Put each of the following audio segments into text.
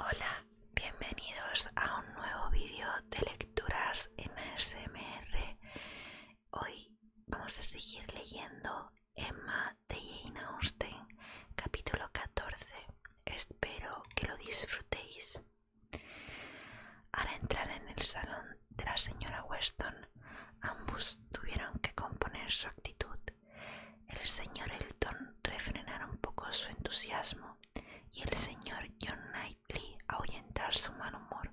Hola, bienvenidos a un nuevo vídeo de lecturas en ASMR. Hoy vamos a seguir leyendo Emma de Jane Austen, capítulo 14 espero que lo disfrutéis. Al entrar en el salón de la señora Weston, ambos tuvieron que componer su actitud. El señor Elton refrenara un poco su entusiasmo y el señor John Knightley ahuyentar su mal humor.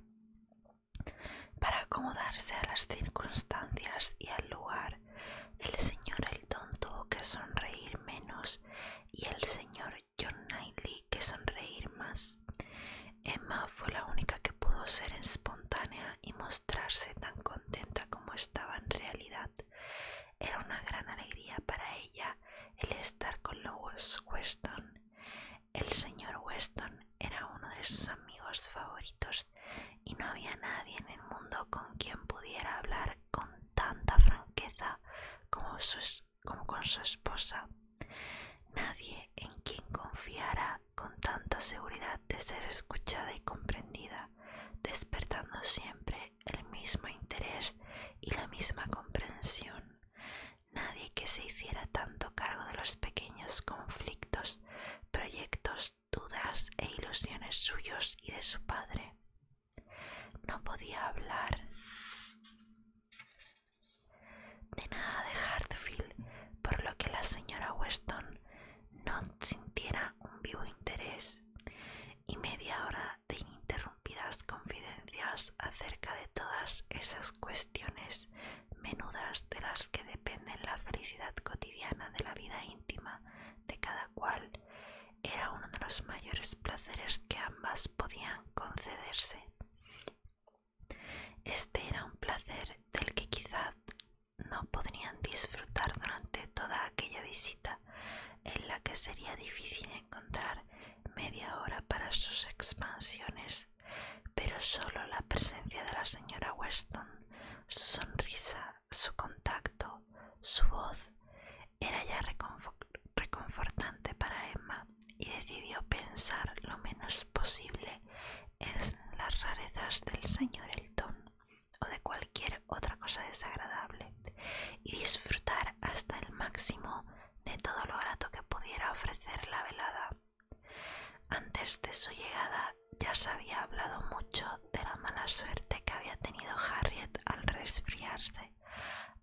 Para acomodarse a las circunstancias y al lugar, el señor Elton tuvo que sonreír menos y el señor John Knightley que sonreír más. Emma fue la única que pudo ser espontánea y mostrarse tan contenta como estaba en realidad. Era una gran alegría para ella el estar con louis Weston. El señor Weston era uno de sus amigos favoritos y no había nadie en el mundo con quien pudiera hablar con tanta franqueza como, con su esposa. Nadie en quien confiara con tanta seguridad de ser escuchada y comprendida, despertando siempre el mismo interés y la misma comprensión. Nadie que se hiciera tanto cargo de los pequeños conflictos, proyectos, dudas e ilusiones suyos y de su padre. No podía hablar de nada de Hartfield, por lo que la señora Weston no sintiera un vivo interés, y media hora de ininterrumpidas confidencias acerca de todas esas cuestiones menudas de las que depende la felicidad cotidiana de la vida íntima de cada cual era uno de los mayores placeres que ambas podían concederse. Este era un placer del que quizá no podrían disfrutar durante toda aquella visita, en la que sería difícil encontrar media hora para sus expansiones, pero solo la presencia de la señora Weston, su sonrisa su contacto, su voz, era ya reconfortante para Emma y decidió pensar lo menos posible en las rarezas del señor Elton o de cualquier otra cosa desagradable y disfrutar hasta el máximo de todo lo grato que pudiera ofrecer la velada. Antes de su llegada ya se había hablado mucho de la mala suerte que había tenido Harriet al resfriarse.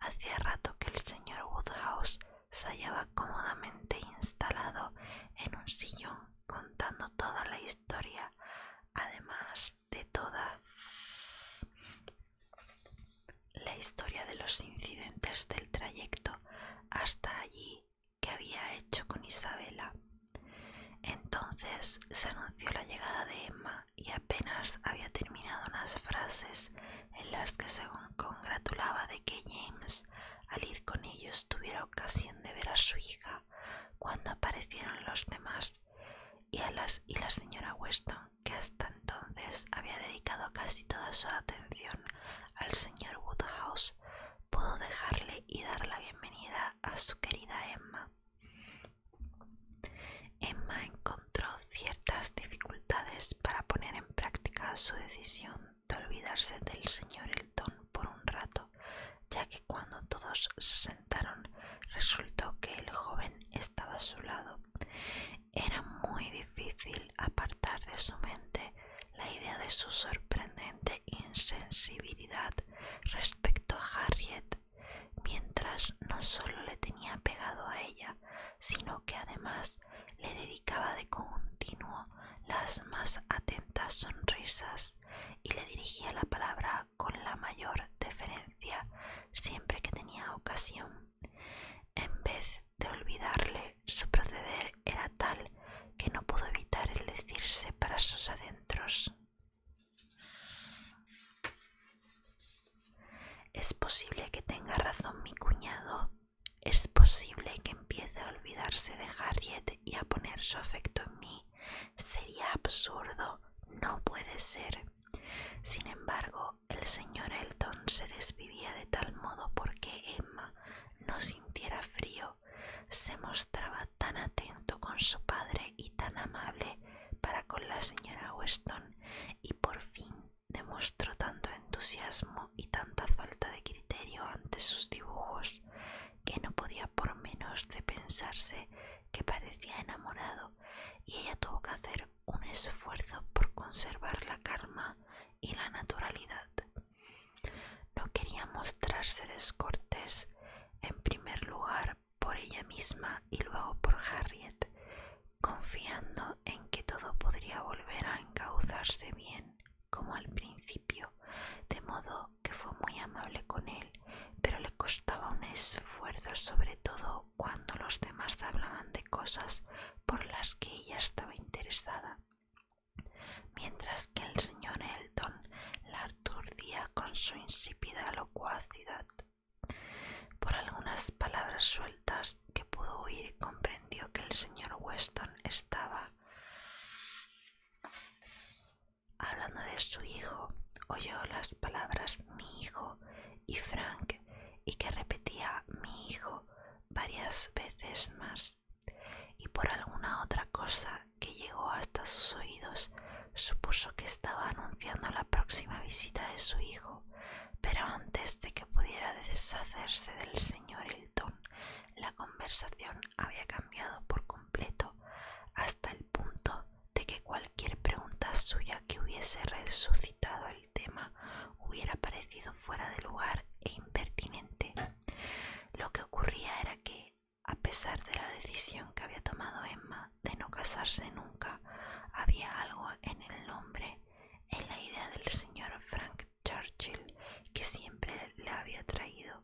Hacía rato que el señor Woodhouse se hallaba cómodamente instalado en un sillón contando toda la historia, además de toda la historia de los incidentes del trayecto hasta allí que había hecho con Isabela. Entonces se anunció la llegada de Emma y apenas había terminado unas frases en las que según congratulaba de que James al ir con ellos tuviera ocasión de ver a su hija cuando aparecieron los demás y, a y la señora Weston que hasta entonces había dedicado casi toda su atención al señor Woodhouse pudo dejarle y dar la bienvenida a su querida Emma Emma encontró ciertas dificultades para poner en práctica su decisión de olvidarse del señor Elton por un rato, ya que cuando todos se sentaron resultó que el joven estaba a su lado. Era muy difícil apartar de su mente la idea de su sorprendente insensibilidad respecto a Harriet mientras no solo le tenía pegado a ella, sino que además le dedicaba de continuo las más atentas sonrisas y le dirigía la palabra con la mayor deferencia siempre que tenía ocasión. En vez de olvidarle, su proceder era tal que no pudo evitar el decirse para sus adentros es posible que tenga razón mi cuñado. Es posible que empiece a olvidarse de Harriet y a poner su afecto en mí. Sería absurdo. No puede ser. Sin embargo, el señor Elton se desvivía de tal modo porque Emma no sintiera frío. Se mostraba tan atento con su padre y tan amable para con la señora Weston y por fin demostró tanto entusiasmo y tanta falta de criterio ante sus dibujos que no podía por menos de pensarse que parecía enamorado y ella tuvo que hacer un esfuerzo por conservar la calma y la naturalidad. No quería mostrarse descortés en primer lugar por ella misma y luego por Harriet, confiando en que todo podría volver a encauzarse bien como al principio, de modo que fue muy amable con él, pero le costaba un esfuerzo sobre todo cuando los demás hablaban de cosas por las que ella estaba interesada. Mientras que el señor Elton la con su insípida locuacidad. Por algunas palabras sueltas que pudo oír comprendió que el señor Weston estaba hablando de su hijo. Oyó las palabras mi hijo y Frank y que repetía mi hijo varias veces más y por alguna otra cosa que llegó hasta sus oídos supuso que estaba anunciando la próxima visita de su hijo, pero antes de que pudiera deshacerse del señor elton la conversación había cambiado por completo hasta el punto de que cualquier pregunta suya que hubiese resucitado el tema hubiera parecido fuera de lugar e impertinente. Lo que ocurría era que a pesar de la decisión que había tomado Emma de no casarse nunca, había algo en el nombre, en la idea del señor Frank Churchill que siempre la había traído.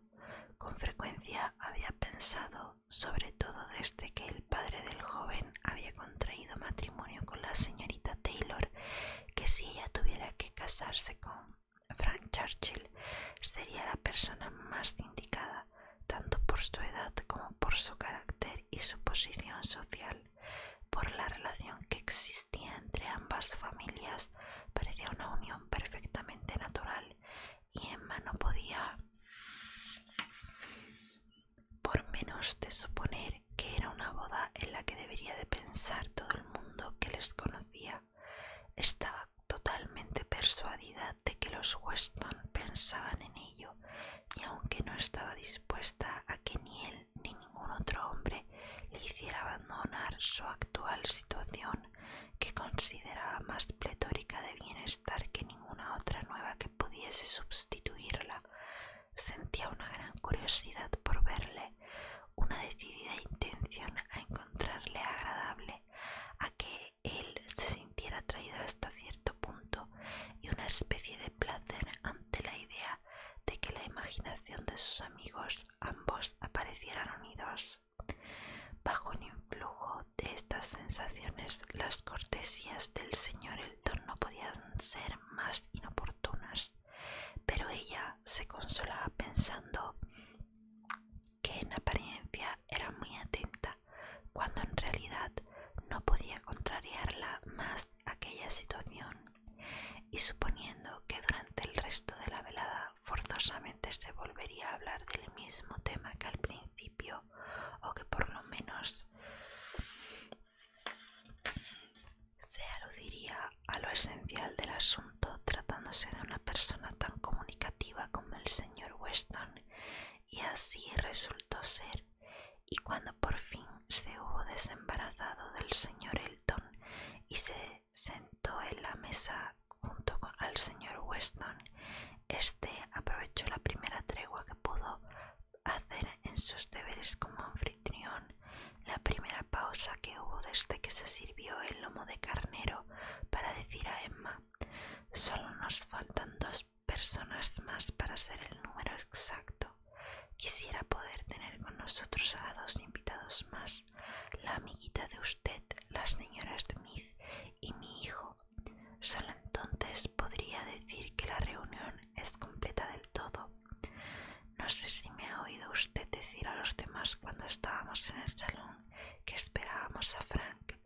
Con frecuencia había pensado, sobre todo desde que el padre del joven había contraído matrimonio con la señorita Taylor, que si ella tuviera que casarse con Frank Churchill, sería la persona más indicada tanto por su edad como por su carácter y su posición social. Por la relación que existía entre ambas familias parecía una unión perfectamente natural y Emma no podía por menos de suponer que era una boda en la que debería de pensar todo el mundo que les conocía. Estaba totalmente persuadida de que los Weston pensaban en ello, y aunque no estaba dispuesta a que ni él ni ningún otro hombre le hiciera abandonar su actual situación, que consideraba más pletórica de bienestar que ninguna otra nueva que pudiese sustituirla, sentía una gran curiosidad por verle, una decidida intención a encontrarle agradable, a que él se sintiera atraído hasta cierto punto y una especie de placer ante la idea de que la imaginación de sus amigos ambos aparecieran unidos. Bajo el influjo de estas sensaciones, las cortesías del señor Elton no podían ser más inoportunas, pero ella se consolaba pensando que en apariencia era muy atenta cuando en realidad no podía contrariarla más aquella situación, y suponiendo que durante el resto de la velada forzosamente se volvería a hablar del mismo tema que al principio, o que por lo menos se aludiría a lo esencial del asunto tratándose de una persona tan comunicativa como el señor Weston y así resultó ser, y cuando por fin se hubo desembarazado del señor Elton y se sentó en la mesa junto con, al señor Weston, este aprovechó la primera tregua que pudo hacer en sus deberes como anfitrión, la primera pausa que hubo desde que se sirvió el lomo de carnero para decir a Emma Solo nos faltan dos personas más para ser el número exacto. Quisiera poder tener con nosotros a dos invitados más, la amiguita de usted, la señora Smith y mi hijo. Solo entonces podría decir que la reunión es completa del todo. No sé si me ha oído usted decir a los demás cuando estábamos en el salón que esperábamos a Frank.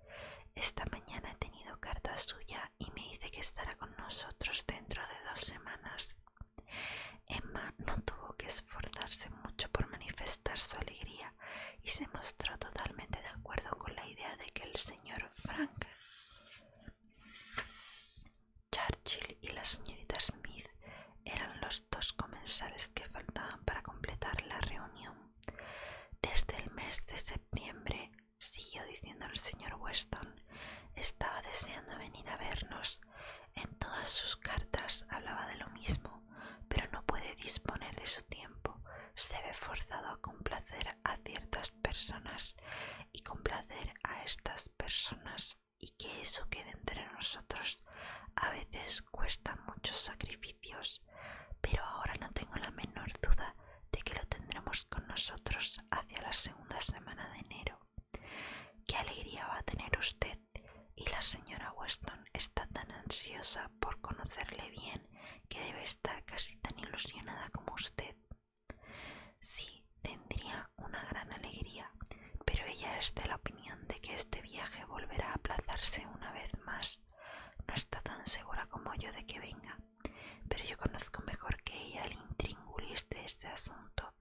Esta mañana he tenido carta suya y me dice que estará con nosotros dentro de dos semanas. Emma no tuvo que esforzarse mucho por manifestar su alegría y se mostró totalmente de acuerdo con la idea de que el señor Frank Churchill y la señorita Smith eran los dos comensales que faltaban para completar la reunión. Desde el mes de septiembre, siguió diciendo el señor Weston, estaba deseando venir a vernos. En todas sus cartas hablaba de lo mismo, pero no puede disponer de su tiempo. Se ve forzado a complacer a ciertas personas y complacer a estas personas y que eso quede entre nosotros a veces cuesta mucho sacrificio pero ahora no tengo la menor duda de que lo tendremos con nosotros hacia la segunda semana de enero. Qué alegría va a tener usted y la señora Weston está tan ansiosa por conocerle bien que debe estar casi tan ilusionada como usted. Sí, tendría una gran alegría, pero ella es de la opinión de que este viaje volverá a aplazarse una vez más. No está tan segura como yo de que venga, pero yo conozco mejor que ella el intríngulis de este asunto.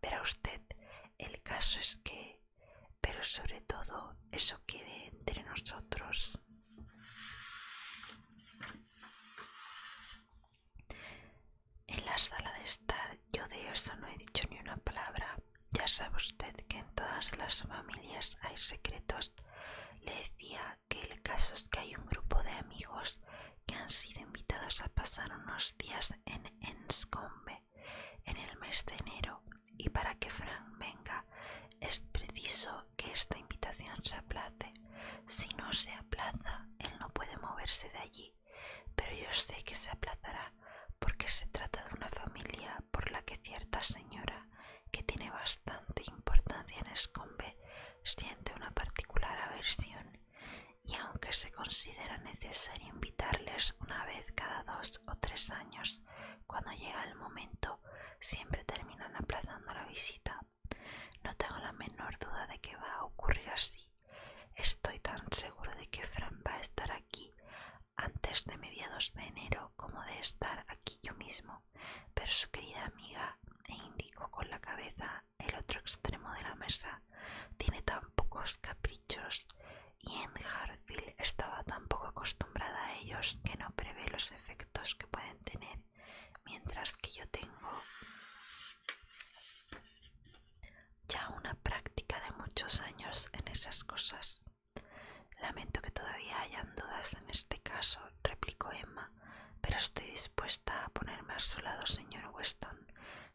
Pero usted, el caso es que... Pero sobre todo, eso quede entre nosotros. En la sala de estar yo de eso no he dicho ni una palabra. Ya sabe usted que en todas las familias hay secretos. Le decía que el caso es que hay un grupo de amigos que han sido invitados a pasar unos días en Enscombe en el mes de enero y para que Frank venga es preciso que esta invitación se aplace. Si no se aplaza, él no puede moverse de allí, pero yo sé que se aplazará porque se trata de una familia por la que cierta señora que tiene bastante importancia en Escombe siente una particular aversión y aunque se considera necesario invitarles una vez cada dos o tres años, cuando llega el momento siempre terminan aplazando la visita. No tengo la menor duda de que va a ocurrir así. Estoy tan seguro de que Fran va a estar aquí antes de mediados de enero como de estar aquí yo mismo, pero su querida amiga, e indicó con la cabeza el otro extremo de la mesa, tiene tan pocos caprichos y en Harfield estaba tan poco acostumbrada a ellos que no prevé los efectos que pueden tener, mientras que yo tengo ya una práctica de muchos años en esas cosas. Lamento que todavía hayan dudas en este caso, replicó Emma, pero estoy dispuesta a ponerme a su lado, señor Weston.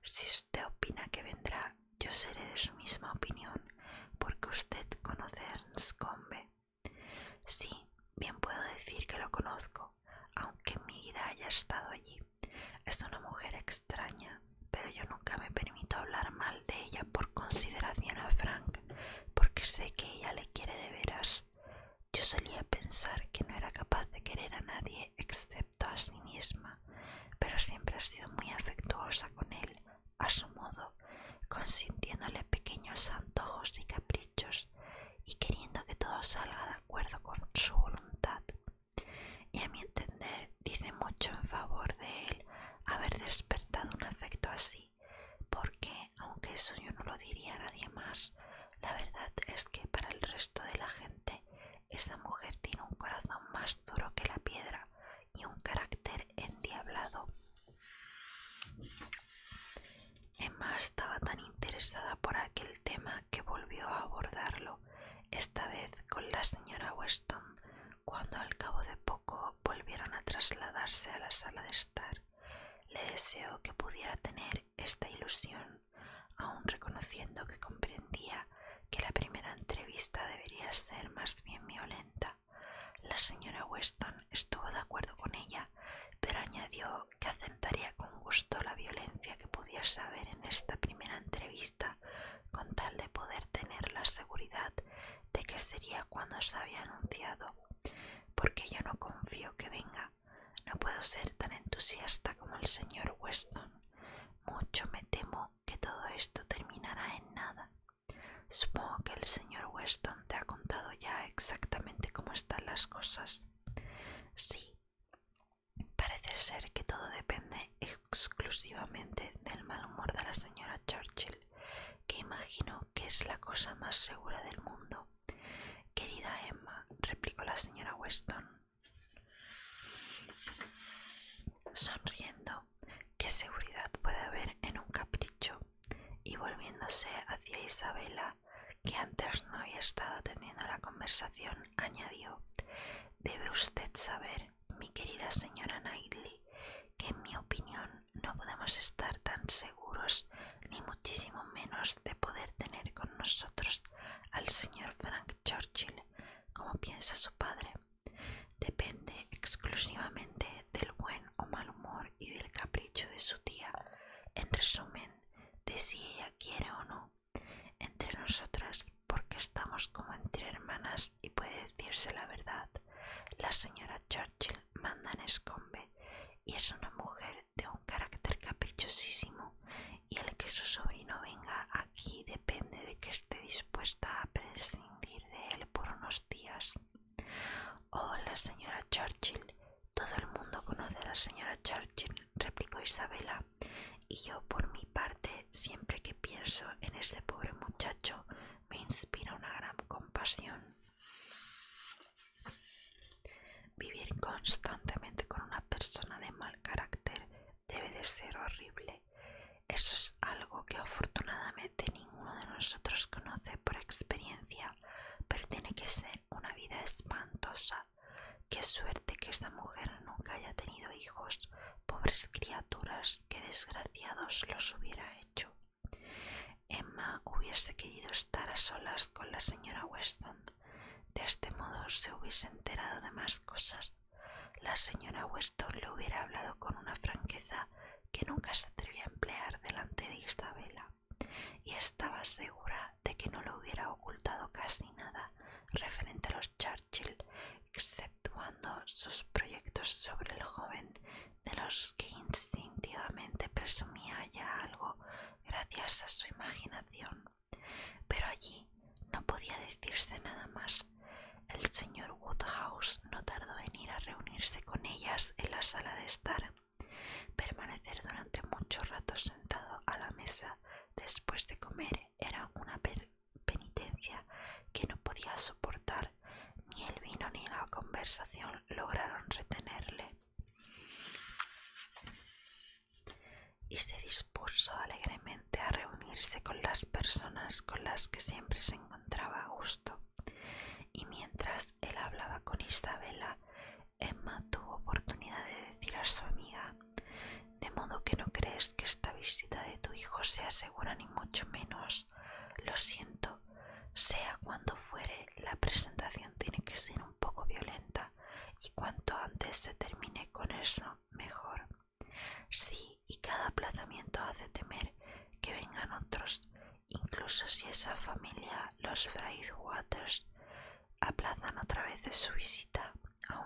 Si usted opina que vendrá, yo seré de su misma opinión, porque usted conoce a Sí, bien puedo decir que lo conozco, aunque mi vida haya estado allí. Es una mujer extraña, pero yo nunca me permito hablar mal de ella por consideración a Frank, porque sé que ella le quiere de veras. Yo solía pensar que no era capaz de querer a nadie excepto a sí misma, pero siempre ha sido muy afectuosa con él, a su modo, consintiéndole pequeños antojos y caprichos y queriendo que todo salga de acuerdo con su voluntad. Y a mi entender, dice mucho en favor de él haber despertado un afecto así porque, aunque eso yo no lo diría a nadie más, la verdad es que para el resto de la gente esa mujer tiene un corazón más duro que la piedra y un carácter endiablado. Emma estaba tan interesada por aquel tema que volvió a abordarlo, esta vez con la señora Weston, cuando al cabo de poco volvieron a trasladarse a la sala de estar, le deseó que pudiera tener esta ilusión, aun reconociendo que comprendía que la primera entrevista debería ser más bien violenta. La señora Weston estuvo de acuerdo con ella, pero añadió que aceptaría con gusto la violencia que pudiera haber en esta primera entrevista con tal de poder tener la seguridad de qué sería cuando se había anunciado, porque yo no confío que venga. No puedo ser tan entusiasta como el señor Weston. Mucho me temo que todo esto terminará en nada. Supongo que el señor Weston te ha contado ya exactamente cómo están las cosas. Sí, parece ser que todo depende exclusivamente del mal humor de la señora Churchill que imagino que es la cosa más segura del mundo. Querida Emma, replicó la señora Weston, sonriendo, ¿qué seguridad puede haber en un capricho? Y volviéndose hacia Isabela, que antes no había estado teniendo la conversación, añadió, debe usted saber, mi querida señora Knightley, que en mi opinión no podemos estar tan seguros, ni muchísimo menos de poder tener con nosotros al señor Frank Churchill, como piensa su padre. Depende exclusivamente del buen o mal humor y del capricho de su tía, en resumen, de si ella quiere o no. Entre nosotras, porque estamos como entre hermanas, y puede decirse la verdad. La señora Churchill manda en escombe y es una mujer de un carácter caprichosísimo y el que su sobrino venga aquí depende de que esté dispuesta a prescindir de él por unos días. Oh, la señora Churchill. Todo el mundo conoce a la señora Churchill, replicó Isabela, y yo por mi parte siempre que pienso en ese pobre muchacho me inspira una gran compasión. Vivir constantemente con una persona de mal carácter debe de ser horrible. Eso es algo que afortunadamente ninguno de nosotros conoce por experiencia, pero tiene que ser una vida espantosa. Qué suerte que esta mujer nunca haya tenido hijos, pobres criaturas, qué desgraciados los hubiera hecho. Emma hubiese querido estar a solas con la señora Weston. De este modo se hubiese enterado de más cosas. La señora Weston le hubiera hablado con una franqueza que nunca se atrevía a emplear delante de Isabela, y estaba segura de que no le hubiera ocultado casi nada referente a los Churchill exceptuando sus proyectos sobre el joven de los que instintivamente presumía ya algo gracias a su imaginación. Pero allí no podía decirse nada más. El señor Woodhouse no tardó en ir a reunirse con ellas en la sala de estar. Permanecer durante mucho rato sentado a la mesa después de comer era una penitencia que no podía soportar, ni el vino ni la conversación lograron retenerle. Y se dispuso alegremente a reunirse con las personas con las que siempre se encontraba a gusto. Y mientras él hablaba con Isabela, Emma tuvo oportunidad de decir a su amiga, de modo que no crees que esta visita de tu hijo sea segura ni mucho menos lo siento, sea cuando fuere, la presentación tiene que ser un poco violenta y cuanto antes se termine con eso, mejor. Sí, y cada aplazamiento hace temer que vengan otros, incluso si esa familia, los Waters aplazan otra vez su visita,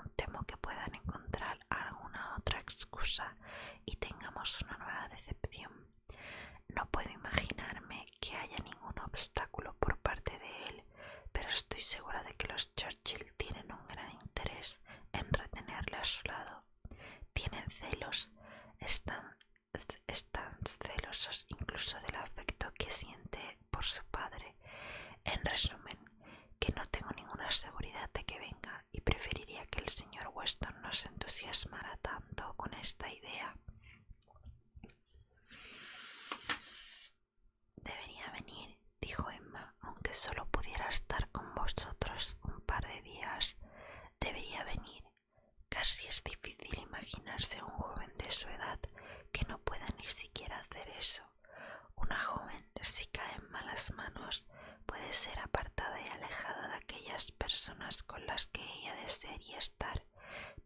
un temo que puedan encontrar alguna otra excusa y tengamos una nueva decepción. No puedo imaginarme que haya ningún obstáculo por parte de él, pero estoy segura de que los Churchill tienen un gran interés en retenerle a su lado. Tienen celos, están, están celosos incluso del afecto que siente por su padre. En resumen, que no tengo ninguna seguridad de que venga y preferiría que el señor Weston no se entusiasmara tanto con esta idea. Debería venir, dijo Emma, aunque solo pudiera estar con vosotros un par de días. Debería venir. Casi es difícil imaginarse un joven de su edad que no pueda ni siquiera hacer eso. Una joven, si cae en malas manos, puede ser apartada y alejada de aquellas personas con las que ella desearía estar,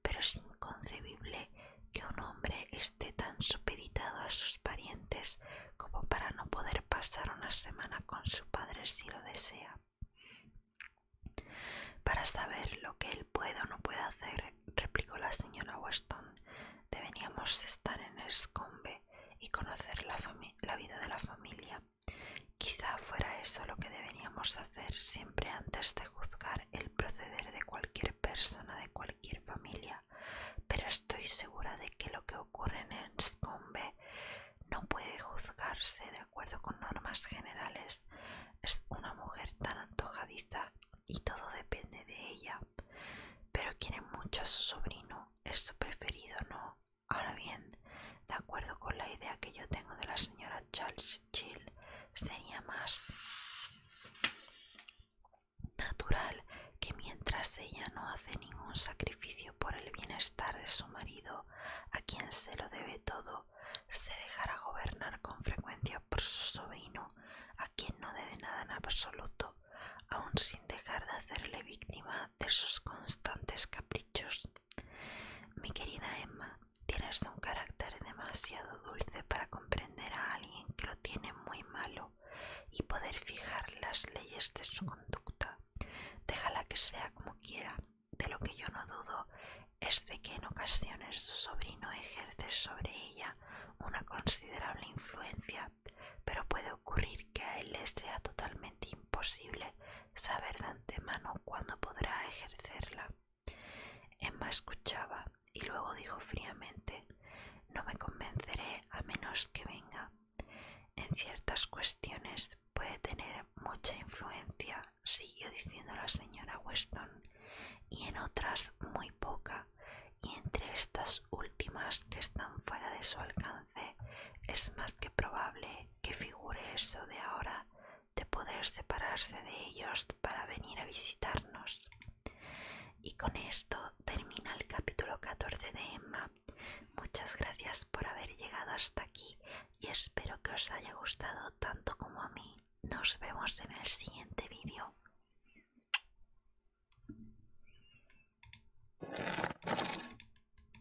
pero es inconcebible que un hombre esté tan supeditado a sus parientes como para no poder pasar una semana con su padre si lo desea. Para saber lo que él puede o no puede hacer, replicó la señora Weston, deberíamos estar en Escombe y conocer la vida de la familia. Quizá fuera eso lo que deberíamos hacer siempre antes de juzgar el proceder de cualquier persona, de cualquier familia, pero estoy segura de que lo que ocurre en Enscombe no puede juzgarse de acuerdo con normas generales. Es una mujer tan antojadiza y todo depende de ella. Pero quiere mucho a su sobrino, es su preferido, ¿no? Ahora bien, de acuerdo con la idea que yo tengo de la señora Charles Chill, sería más natural que mientras ella no hace ningún sacrificio por el bienestar de su marido, a quien se lo debe todo, se dejara gobernar con frecuencia por su sobrino, a quien no debe nada en absoluto, aun sin dejar de hacerle víctima de sus constantes caprichos. Mi querida Emma, tienes un carácter demasiado dulce para comprender a alguien que lo tiene muy malo y poder fijar las leyes de su conducta. Déjala que sea como quiera. De lo que yo no dudo es de que en ocasiones su sobrino ejerce sobre ella una considerable influencia, pero puede ocurrir que a él le sea totalmente imposible saber de antemano cuándo podrá ejercerla. Emma escuchaba y luego dijo fríamente No me convenceré a menos que venga. En ciertas cuestiones puede tener mucha influencia, siguió diciendo la señora Weston, y en otras muy poca, y entre estas últimas que están fuera de su alcance es más que probable que figure eso de ahora de poder separarse de ellos para venir a visitarnos. Y con esto termina el capítulo 14 de Emma. Muchas gracias por haber llegado hasta aquí y espero que os haya gustado tanto como a mí. Nos vemos en el siguiente vídeo.